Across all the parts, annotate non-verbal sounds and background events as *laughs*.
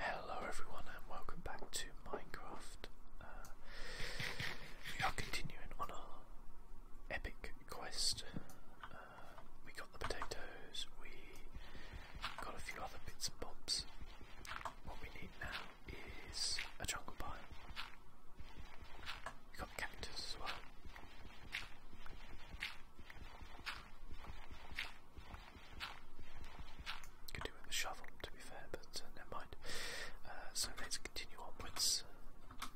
Hello everyone and welcome back to Minecraft. Uh, we are continuing on our epic quest. Uh, we got the potatoes, we got a few other bits and bobs. What we need now is a jungle pie. We got the cactus as well. Could do with a shovel, to be fair, but uh, never mind. Uh, so let's continue onwards. Uh,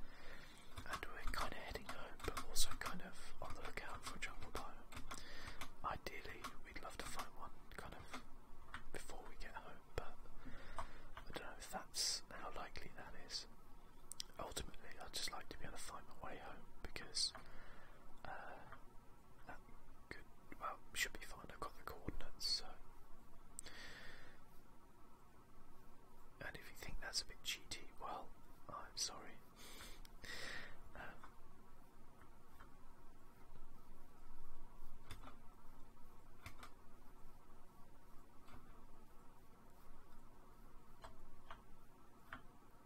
and we're kind of heading home, but also kind of on the lookout for a jungle biome. Ideally, we'd love to find one kind of before we get home, but I don't know if that's how likely that is. Ultimately, I'd just like to be able to find my way home because that um, could, well, should be fine. I've got the coordinates, so. And if you think that's a bit cheaty, well, I'm sorry. Um,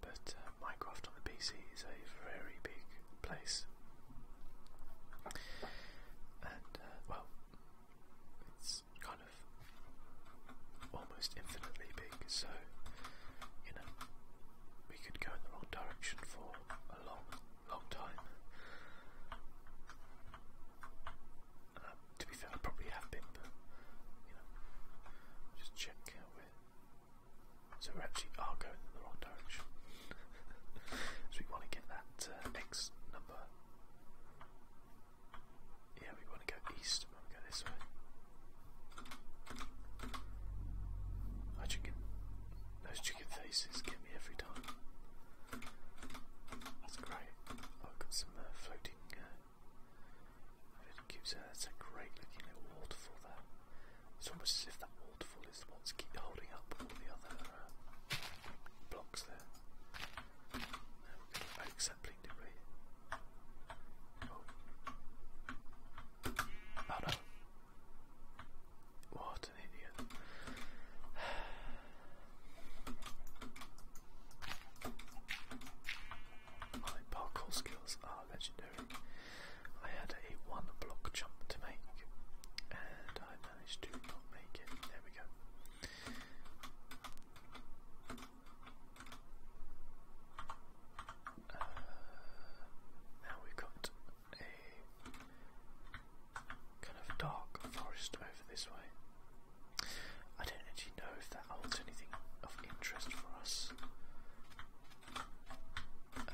but uh, Minecraft on the PC is a very big place, and uh, well, it's kind of almost infinitely big. So you know, we could go in the wrong direction for a long, long time. Um, to be fair, I probably have been, but you know, just check how we so we actually are oh, going in the wrong direction. *laughs* so we want to get that uh, number. Yeah, we want to go east. go this way. My chicken, those chicken faces get me every time. That's great. Oh, I've got some uh, floating uh, That's uh, a great looking little waterfall there. It's almost as if that waterfall is what's keep holding up all the other uh, blocks there. we go. Oh, except Blink did right. Oh. oh no. What an idiot. *sighs* My parkour skills are legendary. I had a one block jump to make and I managed to not make it. There we go. Uh, now we've got a kind of dark forest over this way. I don't actually know if that holds anything of interest for us. Um,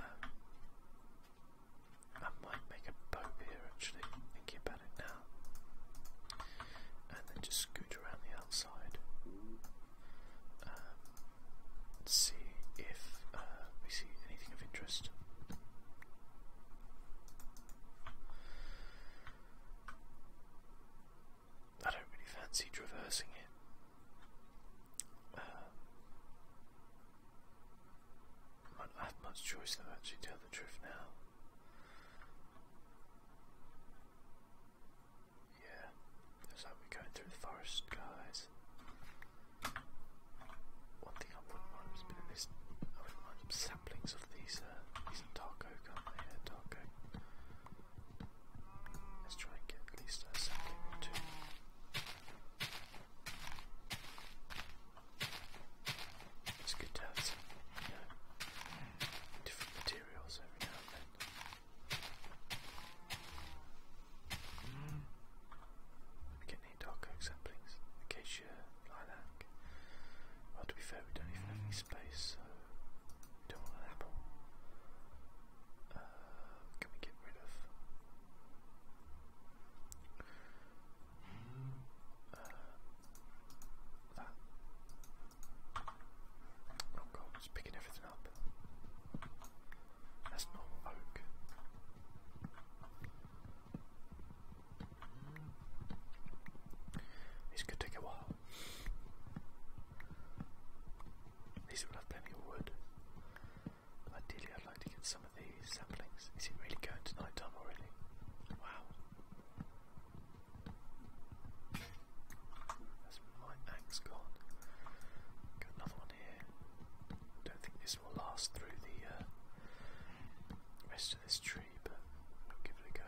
I might make a boat here actually, thinking about it now. And then just scoot around the outside. Um, see if uh, we see anything of interest. I don't really fancy traversing it. I have much choice to actually tell the truth now. Yeah, looks like we're going through the forest guys. One thing I wouldn't mind is a bit this I wouldn't mind some of these uh, these are dark oak, Let's try and get at least a second or two. It's good to have different materials every now and then. Mm. Let me get any dark oak samplings, acacia, Well, to be fair, we don't even have any space, so don't want an apple. Uh, can we get rid of? Uh, that. Oh god, it's picking everything up. That's not oak. This could take a while. These will have plenty of wood. Ideally, I'd like to get some of these saplings. Is it really going to night time already? Wow. That's my axe gone. Got another one here. Don't think this will last through the uh, rest of this tree, but we'll give it a go.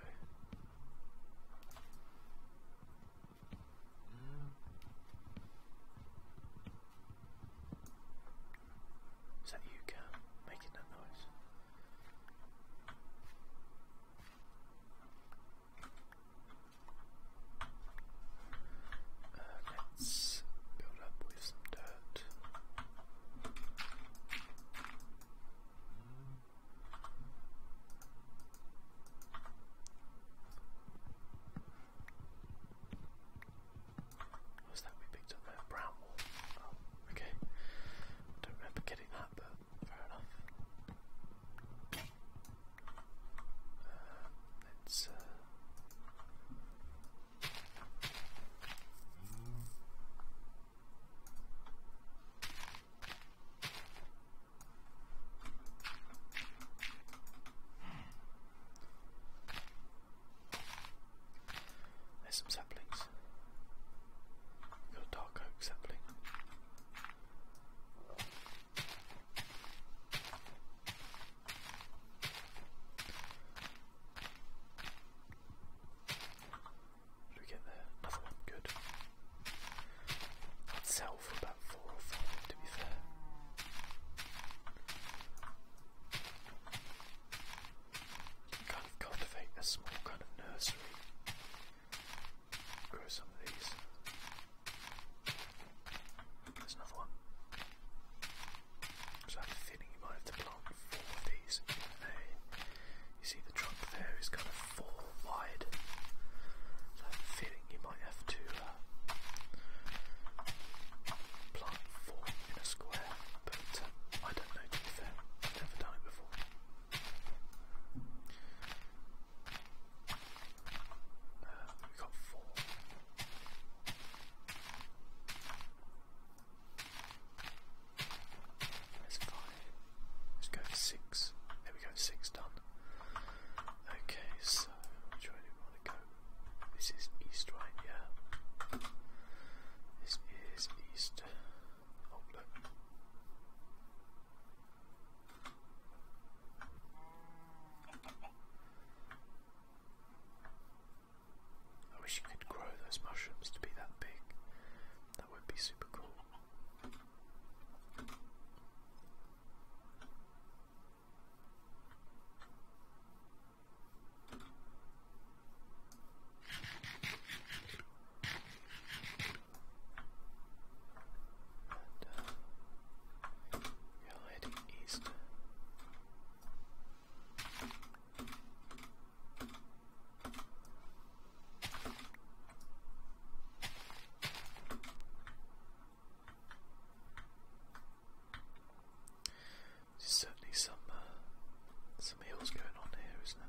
Is that you, Cam, making that noise? Uh, let's build up with some dirt. What's that we picked up there? Brown oh, okay. don't remember getting that, but fair enough. Uh, let's. Uh, there's some saplings. got dark oak sapling. What we get there? Another one, good. sell to be fair. kind of cultivate a small kind of nursery. Grow some of these. There's another one. So have a feeling you might have to plant four of these you see the trunk there is kind of four wide. So I you might have to uh, plant four in a square, but um, I don't know to be fair, i never done it before. Uh, we've got four. let Let's go six. There we go, six done. Okay, so which way do we want to go? This is east, right? Yeah. This is east. Oh, look. I wish you could grow those mushrooms to be that big. That would be super cool. And, uh, we're heading east. There's certainly some uh, some hills going on here, isn't it?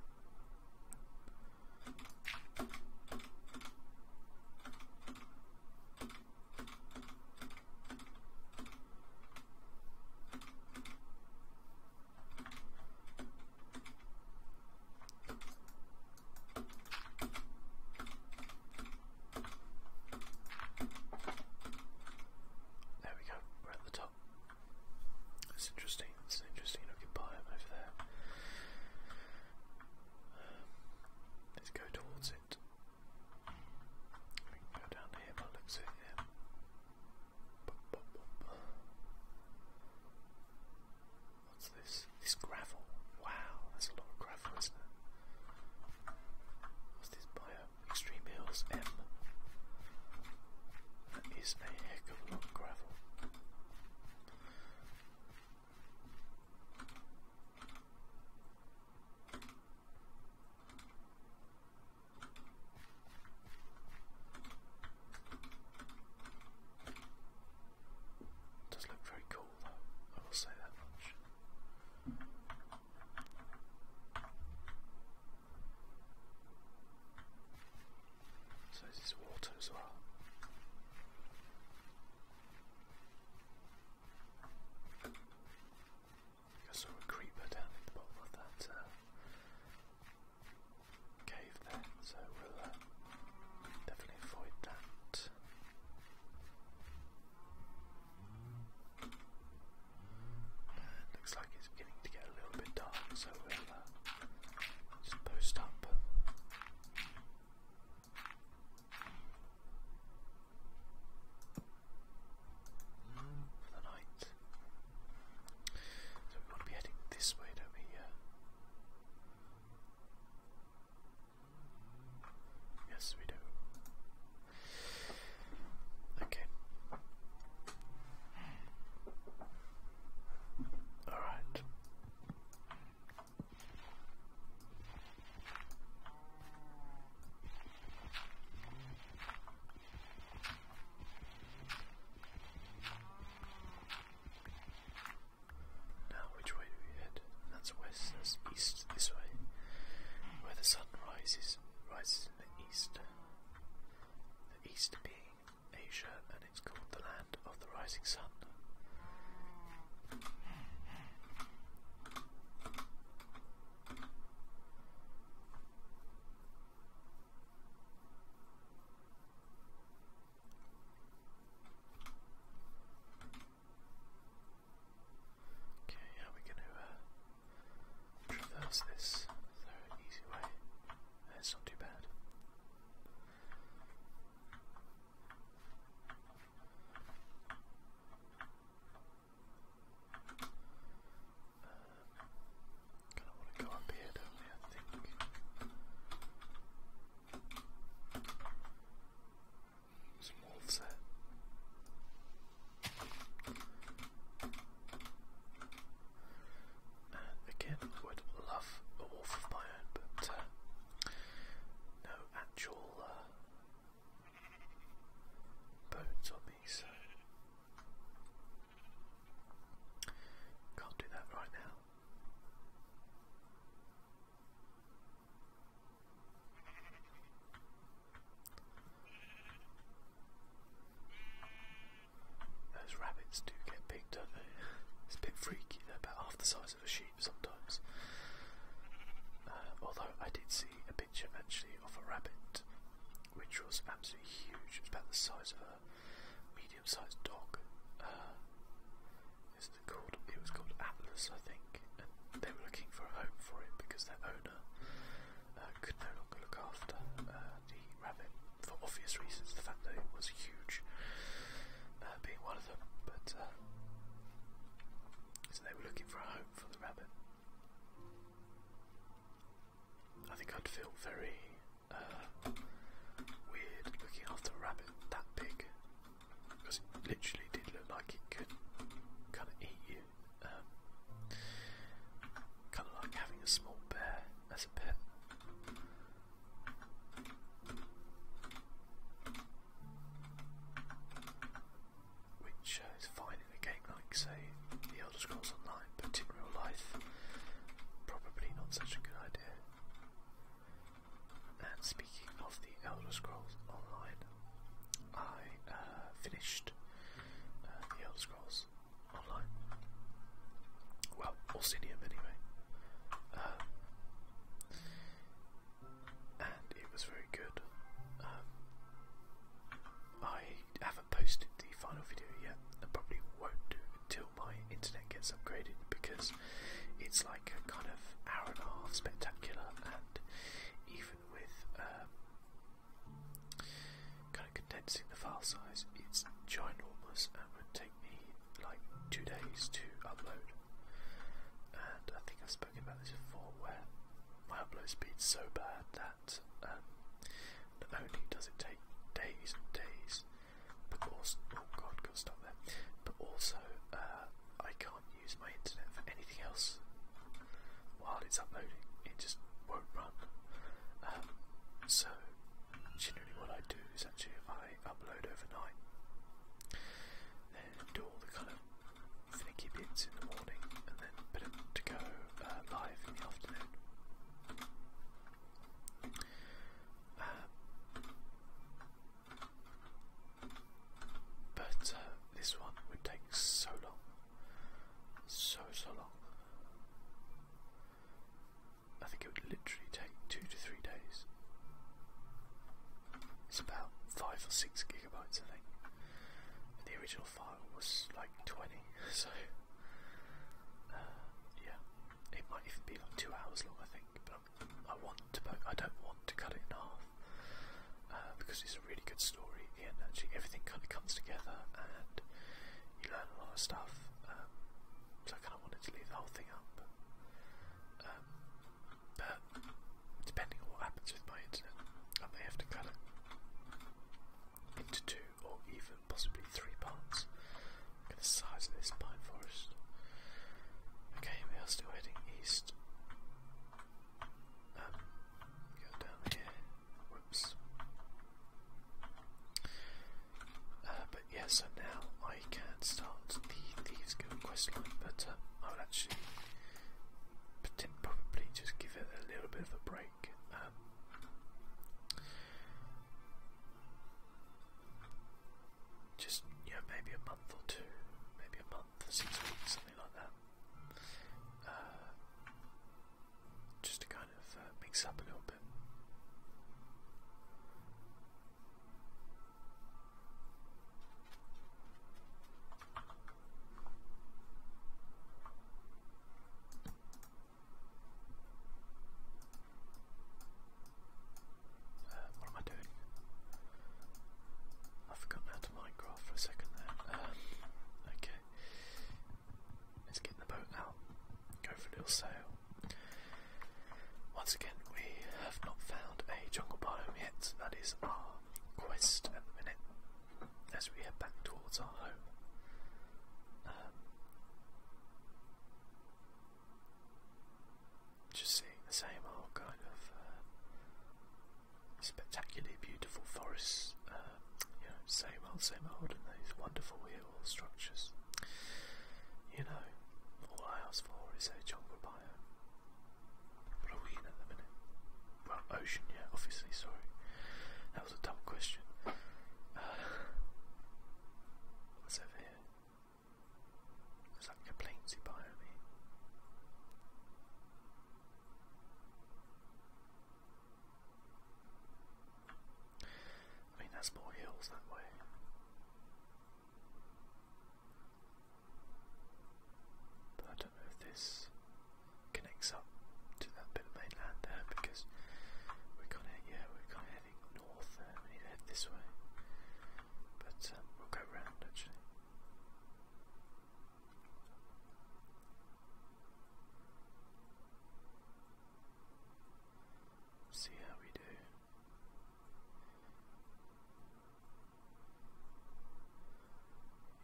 There we go, we're at the top. It's interesting, That's an interesting looking biome over there. Um, let's go towards it. We can go down here but looks at What's this? This gravel. Wow, that's a lot of gravel, isn't it? What's this biome? Uh, Extreme Hills M. That is a heck of a lot of gravel. Does look very cool. So this is water as well. I saw a creeper down at the bottom of that uh, cave there, so we'll uh, definitely avoid that looks like it's beginning to get a little bit dark, so we'll uh, post up. For the night. So we want to be heading this way, don't we? Yes, we do. Okay. All right. Now which way do we head? That's west, that's east, this way. Where the sun rises, rises in the east. The east being Asia, and it's called the land of the rising sun. Okay, yeah, we going to uh, traverse this the easy way. Uh, it's not too bad. Uh, kind of want to go up here, don't we? I think again, I would love a wolf of but uh, no actual uh, bones on me, so can't do that right now. Those rabbits do get big, don't they? *laughs* It's a bit freaky, they're about half the size of a sheep sometimes. Uh, although I did see a picture actually of a rabbit which was absolutely huge, it was about the size of a medium sized dog. Uh, it's it called? It was called Atlas, I think, and they were looking for a home for it because their owner uh, could no longer look after uh, the rabbit for obvious reasons. The fact that it was huge uh, being one of them, but uh, so they were looking for a home for the rabbit. I think I'd feel very uh, weird looking after a rabbit that big because it literally did look like it could kind of eat you. Um, kind of like having a small bear as a pet. Which uh, is fine in a game like, say, The Elder Scrolls Online, but in real life, probably not such a good idea. And speaking of the Elder Scrolls Online, I uh, finished uh, the Elder Scrolls Online. Well, Orsinium anyway. Um, and it was very good. Um, I haven't posted the final video yet, and probably won't do until my internet gets upgraded because it's like a kind of hour and a half spectacular, and even with um, kind of condensing the file size, it's ginormous and would take me like two days to upload. And I think I've spoken about this before, where my upload speed's so bad that um, not only does it take days and days, but also oh god, gotta stop there. But also, uh, I can't use my internet for anything else while it's uploading. It just won't run. Um, so generally, what I do is actually I upload overnight, and do all the kind of finicky bits in the morning, and then put it to go uh, live in the afternoon. Um, but uh, this one would take so long. So, so long. I think it would literally take two to three days. It's about five or six gigabytes, I think. the original file was like 20, *laughs* so uh, yeah, it might even be like two hours long, I think. I want to I don't want to cut it in half uh, because it's a really good story and actually everything kind of comes together and you learn a lot of stuff. Um, so I kind of wanted to leave the whole thing up, um, but depending on what happens with my internet, I may have to cut it into two or even possibly three parts. Look the size of this pine forest. Okay, we are still heading east. Um, uh, but yeah, so now I can start the Thieves Guild questline, but uh, I will actually probably just give it a little bit of a break. Um, just you maybe a month or two, maybe a month, six weeks, something like that. Uh, just to kind of uh, mix up a little bit. Um, what am I doing? I've forgotten how to Minecraft for a second there. Um, okay. Let's get the boat out. Go for a little sail. Once again, we have not found a jungle biome yet. That is our quest at the minute as we head back towards our home. Um, just seeing the same old kind of uh, spectacularly beautiful forests, um, you know, same old, same old, and these wonderful hill structures. You know, all I ask for is a jungle biome. What are we in at the minute? Well, ocean, yeah, obviously, sorry. That was a dumb question. *sighs* what's over here? It's like a plainsy biome I mean, there's more hills that way. But I don't know if this connects up to that bit of mainland there because we're kind of yeah we're kind of heading north there. We head this way. But um, we'll go round actually. See how we do.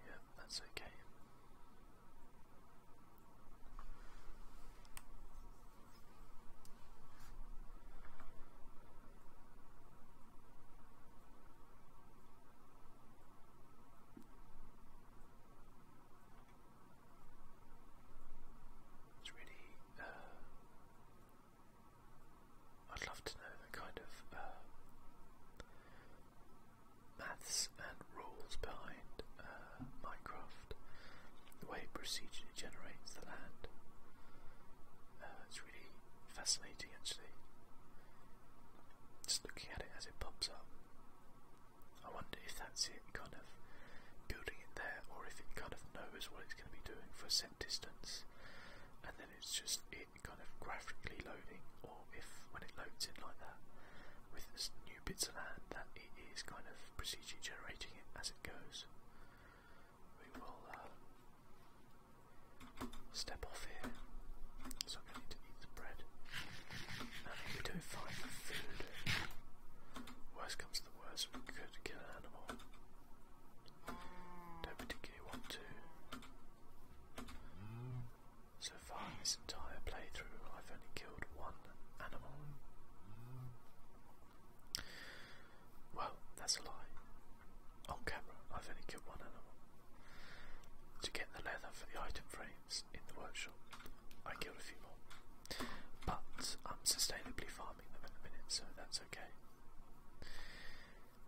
Yep, that's okay. It's really, uh, I'd love to know the kind of uh, maths and rules behind uh, Minecraft, the way it procedurally generates the land really fascinating actually. Just looking at it as it pops up. I wonder if that's it kind of building it there or if it kind of knows what it's going to be doing for a set distance and then it's just it kind of graphically loading or if when it loads in like that with new bits of land that it is kind of procedurally generating it as it goes we will uh, step off here. So I'm to eat the bread. if we don't find food, worst comes to worst, we could kill an animal. Don't particularly want to. So far in this entire playthrough, I've only killed one animal. Well, that's a lie. On camera, I've only killed one animal. To get the leather for the item frames in the workshop, I killed a few more. But I'm sustainably farming them at the minute, so that's okay.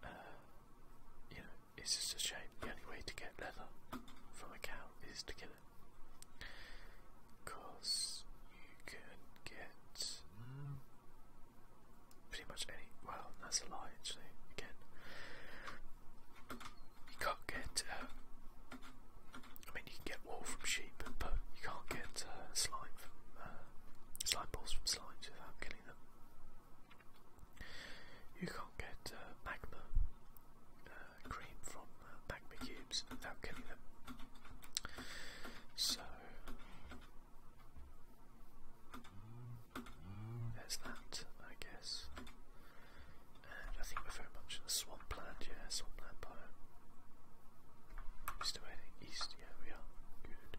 Uh, you know, it's just a shame. The only way to get leather from a cow is to kill it. Because you can get hmm, Pretty much any. Well, that's a lie, actually. Again, you can't get. Uh, I mean, you can get wool from sheep, but you can't get uh, slime from uh, slime balls from slimes without killing them. You can't get uh, magma uh, cream from magma cubes without killing them. So there's that, I guess. And I think we're very much in the swampland, yeah, swampland biome. We're still heading east, yeah, we are. Good.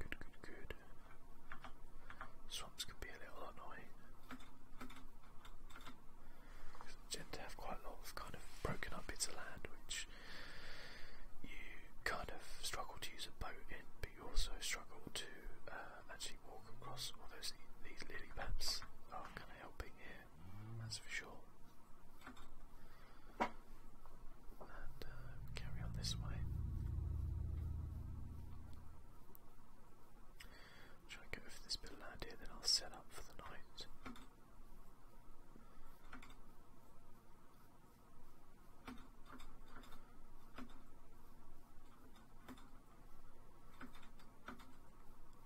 Good, good, good. Swamps can be a little annoying. They tend to have quite a lot of kind of broken up bits of land, which you kind of struggle to use a boat but you also struggle to uh, actually walk across. Although these, lily pads are kind of helping here, that's for sure. And uh, carry on this way. i go for this bit of land here, then I'll set up for the night.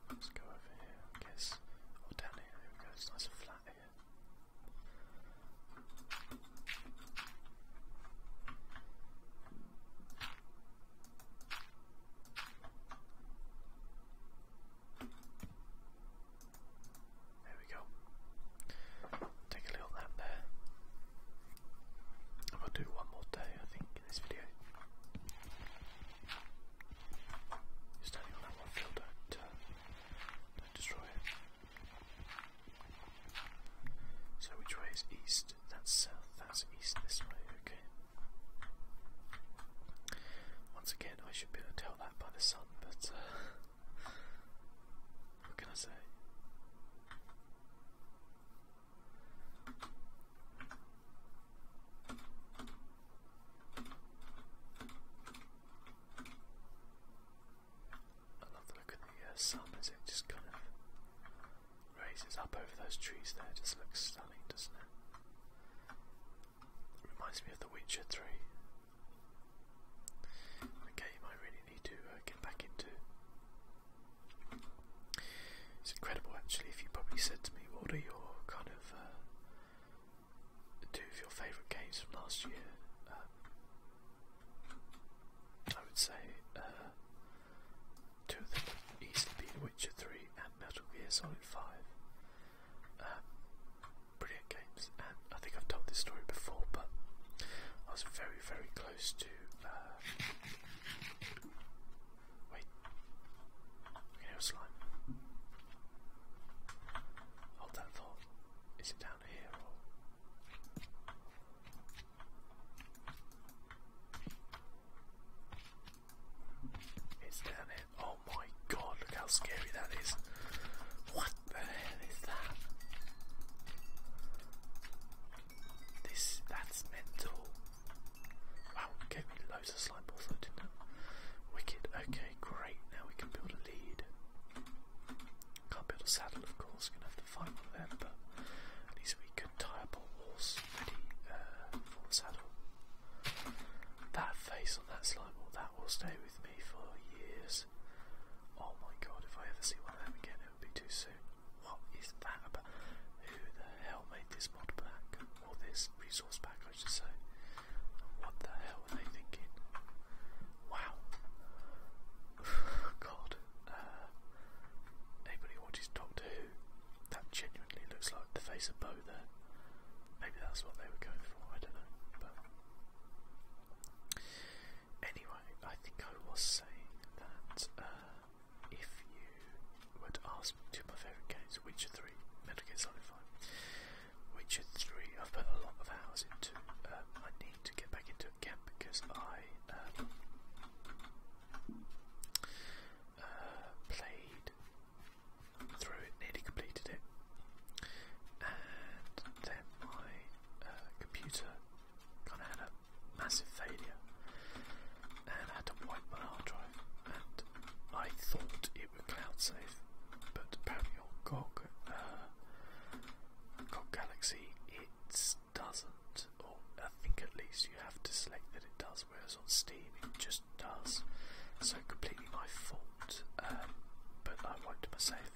Let's go over here, I guess. Or oh, down here, there we go, it's nice and flat here. There we go. Take a little nap there. I'm gonna do one more day, I think, in this video. standing on that one field, do uh, destroy it. So which way is east? That's south, that's east this way, okay. Once again, I should be able to tell that by the sun, but uh, what can I say? I look of the uh, sun as it just kind of raises up over those trees there. just looks stunning, doesn't it? It reminds me of The Witcher 3. A game I really need to uh, get back into. It's incredible actually if you probably said to me what are your kind of uh, two of your favourite games from last year. Um, I would say uh, two of them would Witcher 3 and Metal Gear Solid 5. Um, brilliant games, and I think I've told this story before, but I was very, very close to. Uh, wait, I slime. Hold that thought. Is it down here or? It's down here. Oh my god, look how scary that is. What the hell is that? This, that's mental. Wow, gave me loads of slime balls Wicked, okay, great, now we can build a lead. Can't build a saddle of course, gonna have to find one of but at least we could tie up a horse ready uh, for the saddle. That face on that slime ball, that will stay with me for years. Oh my god, if I ever see one of them again, it would be too soon. What is that about? Who the hell made this mod pack? Or this resource pack, I should say. What the hell were they thinking? Wow. *sighs* god. Uh, anybody watches Doctor Who? That genuinely looks like the face of Bo there. Maybe that's what they were going for, I don't know. Anyway, I think I was saying that uh, if you were ask me two of my favourite games, Witcher 3, Metal Gear Solid 5, Witcher 3 I've put a lot of hours into, uh, I need to get back into it again because I um, uh, played through it, nearly completed it, and then my uh, computer kind of had a massive failure, and had to wipe my hard drive, and I thought it would cloud save, but apparently on uh, GOG Galaxy, it doesn't, or I think at least you have to select that it does, whereas on Steam it just does. So completely my fault. Um, but I've wiped myself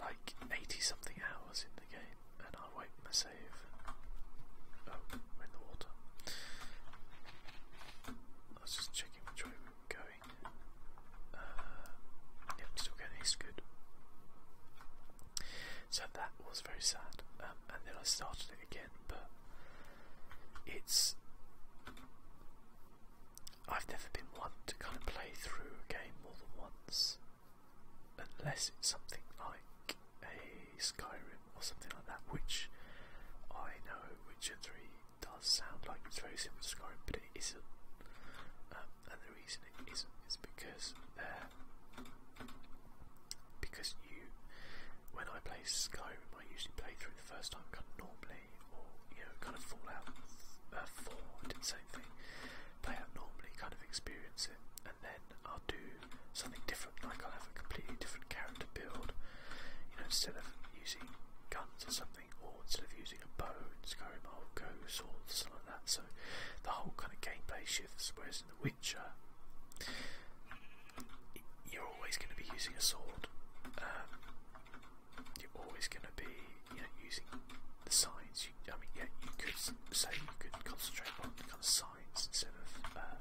like 80 something hours in the game, and I wiped my save. Oh, in the water. I was just checking which way we were going. Uh, yep, still getting haste good. So that was very sad, um, and then I started it again, but it's I've never been one to kind of play through a game more than once, unless it's something like a Skyrim or something like that, which I know Witcher 3 does sound like it's very similar to Skyrim, but it isn't. Um, and the reason it isn't is because uh, because you, when I play Skyrim, I usually play through the first time kind of normally, or you know, kind of Fallout uh, 4, I did the same thing. Play out normally, kind of experience it, and then I'll do something different, like I'll have a completely different character build. You know, instead of using guns or something, or instead of using a bow in Skyrim, I'll go swords, something like that. So the whole kind of gameplay shifts, whereas in The Witcher, you're always going to be using a sword. Um, you're always going to be, you know, using the signs. You, I mean, yeah, you could say you could concentrate on the kind of signs instead of uh,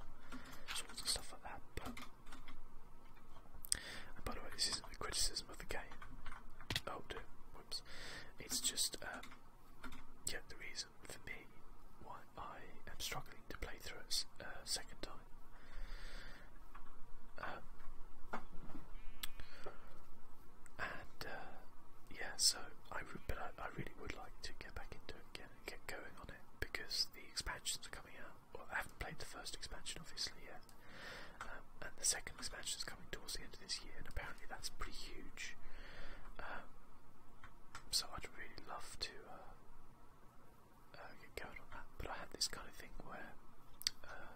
sorts of stuff like that. But and by the way, this isn't a criticism of the game. Oh, dear, whoops! It's just um, yeah, the reason for me why I am struggling to play through it uh, second time and uh, yeah, so I but I, really would like to get back into it again and get going on it because the expansions are coming out. Well, I haven't played the first expansion obviously yet, um, and the second expansion is coming towards the end of this year, and apparently that's pretty huge. Um, so I'd really love to uh, uh, get going on that. But I had this kind of thing where uh,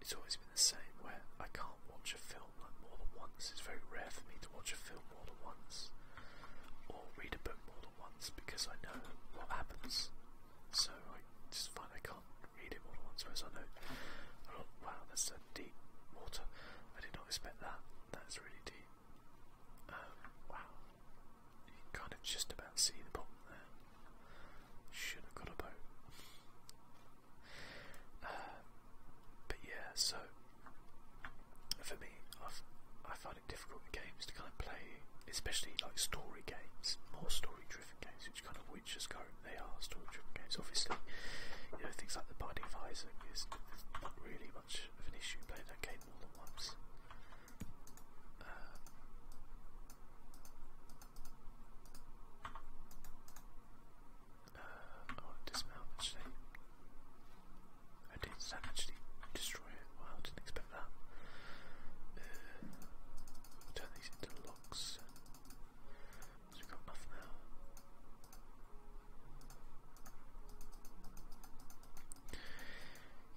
it's always been the same, where I can't watch a film like more than once. It's very rare for me to watch a film more than once, or read a book more than once, because I know what happens. So I just find I can't read it more than once, whereas I know, oh, wow, that's a deep water. I did not expect that. That's really deep. Um, wow. You can kind of just about see the bottom there. Should have got a boat. Uh, but yeah, so for me, i find it difficult in games to kind of play, especially like story games, more story-driven games, which kind of Witcher's Code they are story-driven games. Obviously, you know things like The Binding of Isaac is not really much of an issue playing that game more than once. Uh, uh, oh, I want to actually. Oh, did that actually destroy it? Wow, didn't expect that. Uh, turn these into locks. So we've got enough now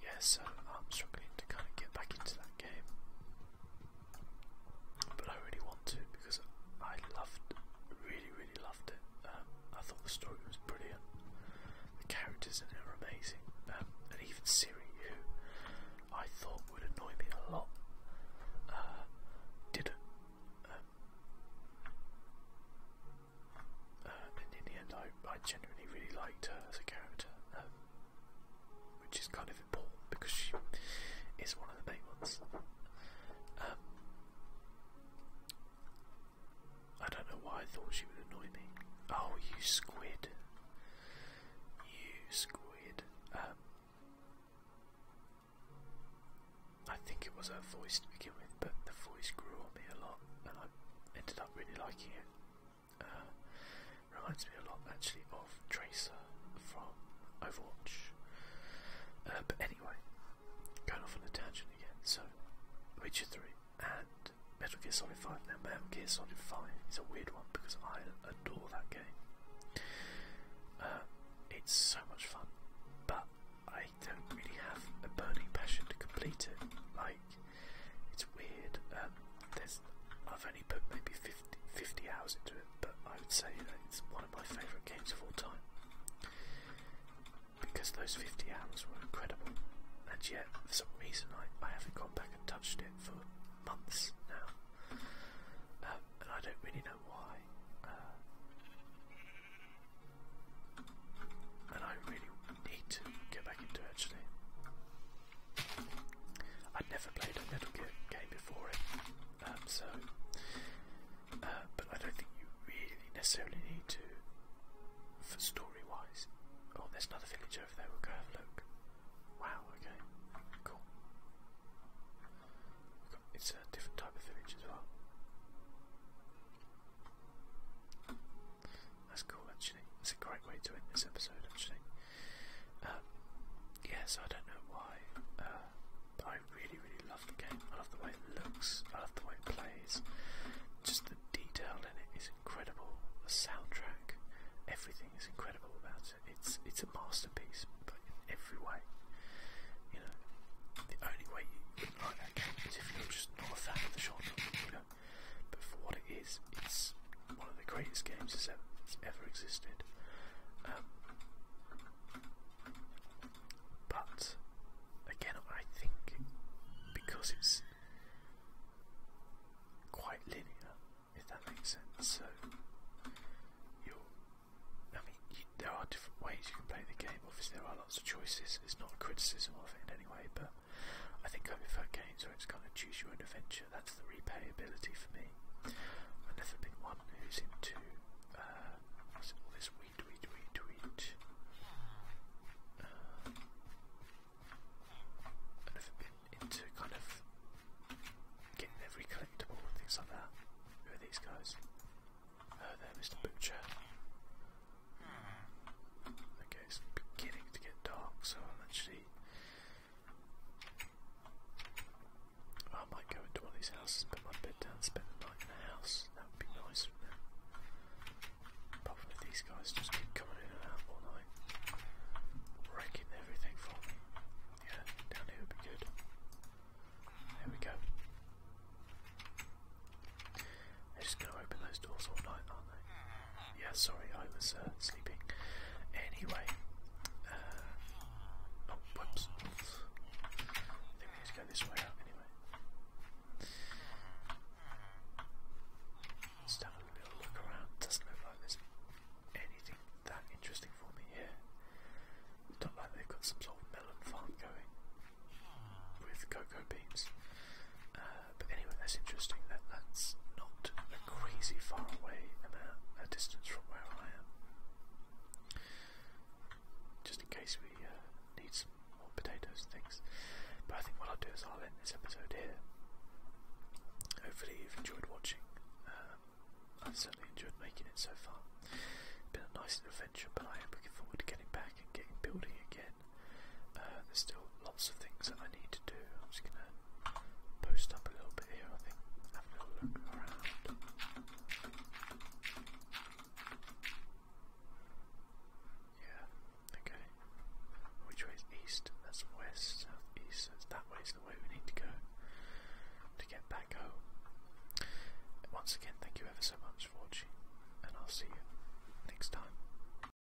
yeah, so I'm struggling to kind of get back into that game. But I really want to because I loved, really, really loved it. Um, I thought the story was brilliant. The characters in it are amazing. Um, and even Siri, who I thought would annoy me a lot, uh, didn't. Um, uh, and in the end, I, I genuinely really liked her as a character which is kind of important because she is one of the main ones. Um, I don't know why I thought she would annoy me. Oh, you squid. You squid. Um, I think it was her voice to begin with, but the voice grew on me a lot and I ended up really liking it. Uh, reminds me a lot actually of Tracer from Overwatch. Uh, but anyway, going off on a tangent again. So, Witcher 3 and Metal Gear Solid 5. Now, Metal Gear Solid 5 is a weird one because I adore that game. Uh, it's so much fun, but I don't really have a burning passion to complete it it's weird. Um, there's I've only put maybe 50, hours into it, but I would say that it's one of my favourite games of all time because those 50 hours were incredible, and yet for some reason I, I haven't gone back and touched it for months now, um, and I don't really know why. Uh, and I really need to get back into it actually i have never played a Metal game before um, so. Uh, but I don't think you really necessarily need to for story wise. Oh, there's another village over there, we'll go have a look. Wow, okay, cool. It's a different type of village as well. That's cool, actually. It's a great way to end this episode, actually. Um, yes, I don't know why, uh, I really, really love the game. I love the way it looks. I love the way it plays. Just the detail in it is incredible. The soundtrack, everything is incredible about it. It's it's a masterpiece, but in every way. You know, the only way you wouldn't like that game is if you're just not a fan of the genre. America. But for what it is, it's one of the greatest games that's ever, that's ever existed. Um, but again, I think because it's quite linear, if that makes sense. So you're, I mean, you, there are different ways you can play the game. Obviously, there are lots of choices. It's not a criticism of it in any way, but I think I prefer games where it's kind of choose your own adventure. That's the replayability for me. I've never been one who's into uh, all this weed, weed, weed, weed. Uh, I've never been into kind of getting every collectible and things like that. Who are these guys? Oh, uh, there, Mr. Butcher it's beginning to get dark, so actually. I might go into one of these houses, put my bed down, spend the night in the house. That would be nice, Apart from these guys just keep coming in and out all night, wrecking everything for me. Yeah, down here would be good. There we go. They're just going to open those doors all night, aren't they? Yeah, sorry, I was uh, sleeping. Anyway, uh, oh, whoops. I think we go this way anyway. Let's have a little look around. Doesn't look like there's anything that interesting for me here. It's not like they've got some sort of melon farm going with cocoa beans. Uh, but anyway, that's interesting. That that's not a crazy far away a distance from where I am. Just in case we uh, need some more potatoes and things. But I think what I'll do is I'll end this episode here. Hopefully you've enjoyed watching. Um, I've certainly enjoyed making it so far. It's been a nice adventure, but I am looking forward to getting back and getting building again. Uh, there's still lots of things that I need to do. I'm just gonna post up a little bit here, I think, have a look around. Yeah, okay. Which way is east? That's west, south, east. that way is the way we need to go to get back home. Once again, thank you ever so much for watching, and I'll see you next time.